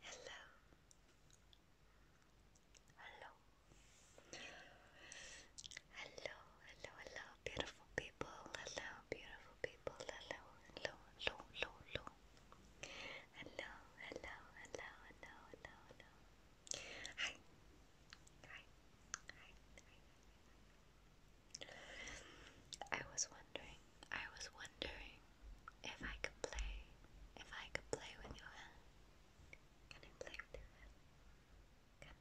Hello. Hello. Hello, hello, hello, beautiful people. Hello, beautiful people. Hello, hello, hello, hello, hello. Hello, hello, hello, hello, hello, hello. Hi. Hi. Hi. Hi. I was wondering, I was wondering if I could play, if I could play with your hand, can I play with your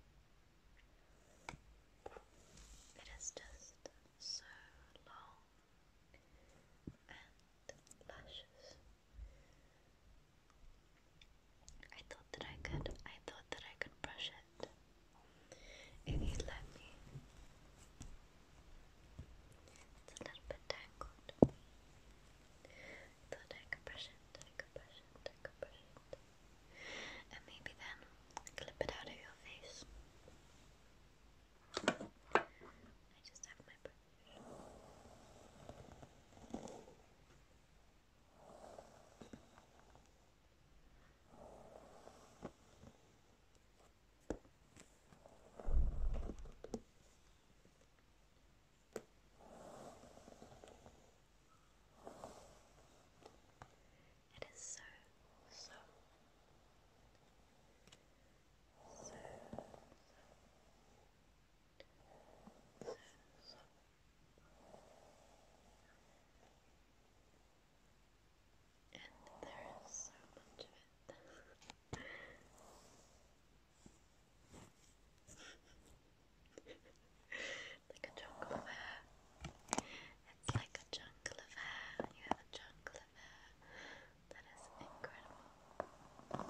it is just so long and luscious. I thought that I could. I thought that I could brush it if you let me. It's a bit tangled. I thought I And maybe then clip it out of your face. I just have my brush. It is so, so, so, so, so, so and there is so much of it. like a jungle of hair. It's like a jungle of hair. You have a jungle of hair. That is incredible.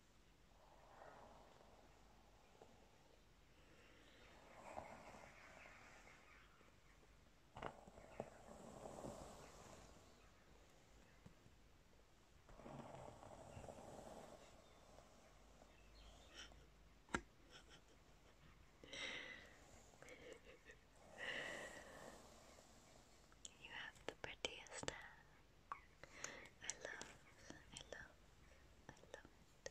You have the prettiest I love, I love, I love it.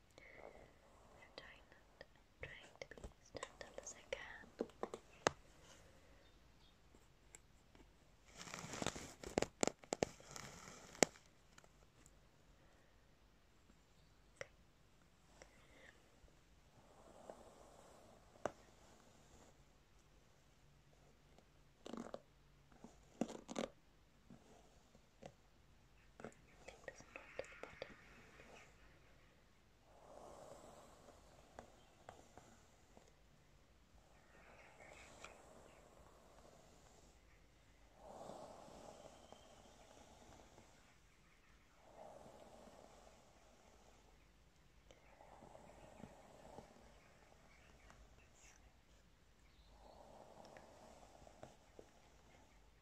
I'm trying I'm trying to be as gentle as I can. Okay doesn't go to the bottom. Just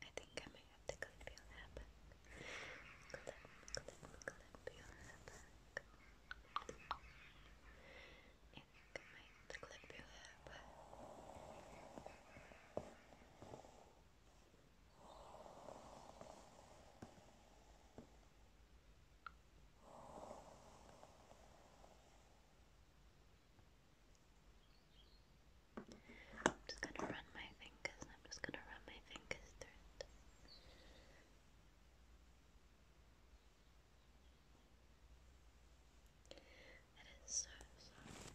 I think I may have to clip your hair Clip, clip, clip your hair I may have to clip your hair I'm just gonna run my fingers, I'm just gonna run my fingers through it. It is so soft.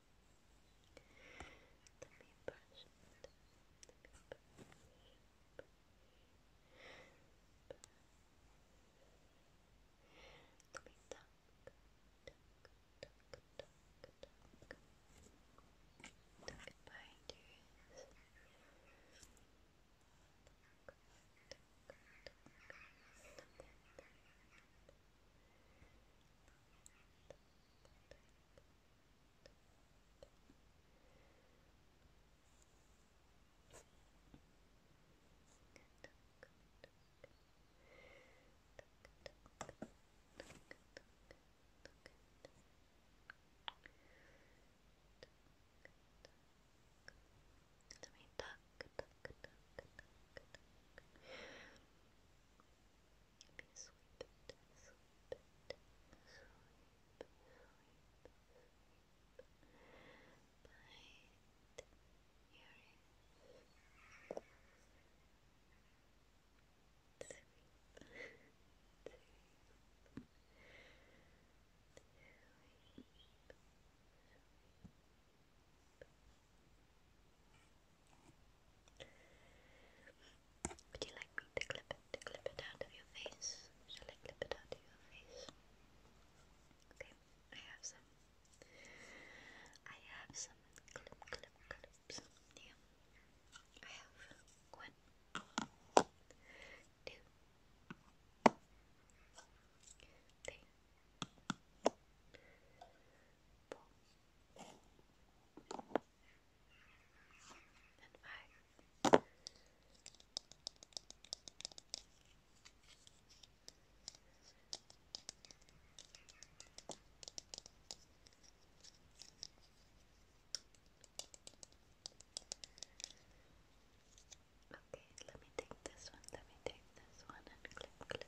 Let me brush Let me brush, Let me tuck, tuck, tuck, tuck, tuck. Let me tuck, tuck, tuck, tuck, tuck. Be sweet, sweet, sweet, sweet, sweet. Bite your ears. Sweet, sweet, sweet, sweet. Would you like me to clip it, to clip it out of your face? Shall I clip it out of your face? Okay, I have some. I have some clips. Yeah, I have one, two, purple. And five. Okay, let me take this one, let me take this one and clip, clip,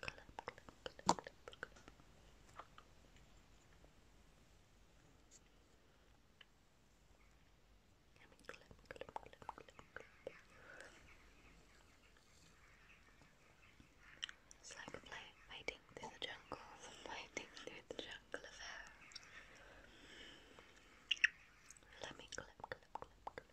Clap, clap, clap, clap. I mean, clap, It's like playing, fighting through the jungle, fighting through the jungle of air. Let me clap, clap, clap, clap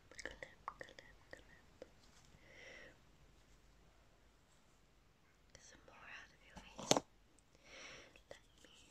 clamp, clamp, Some more out of your face. Let me.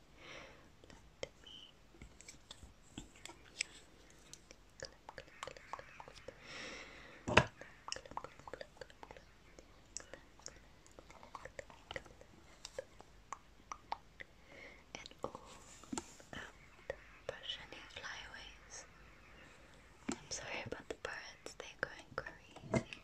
let me clip, clip, clip, any flyaways. I'm sorry about the birds, they're going crazy.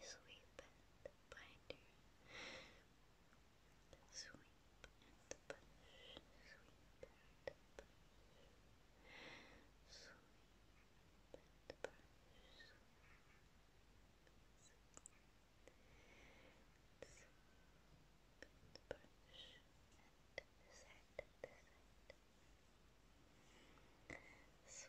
Sweep and binder. Sweep and push. Sweep and push. Sweep and push. and push. And set, set.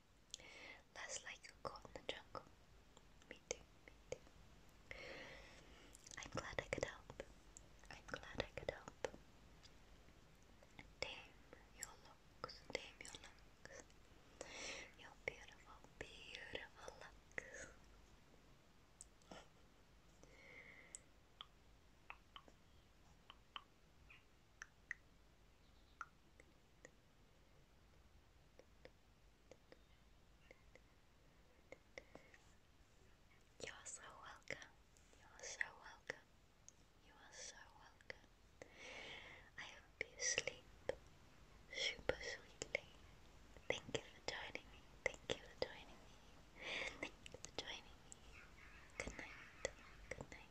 Less like a caught in the jungle. Me too, me too. I'm glad I could help. I'm glad I could help. Damn your looks, damn your looks. Your beautiful, beautiful looks. You are so welcome. You are so welcome. You are so welcome. I hope you sleep super sweetly. Thank you for joining me. Thank you for joining me. Thank you for joining me. Good night. Good night.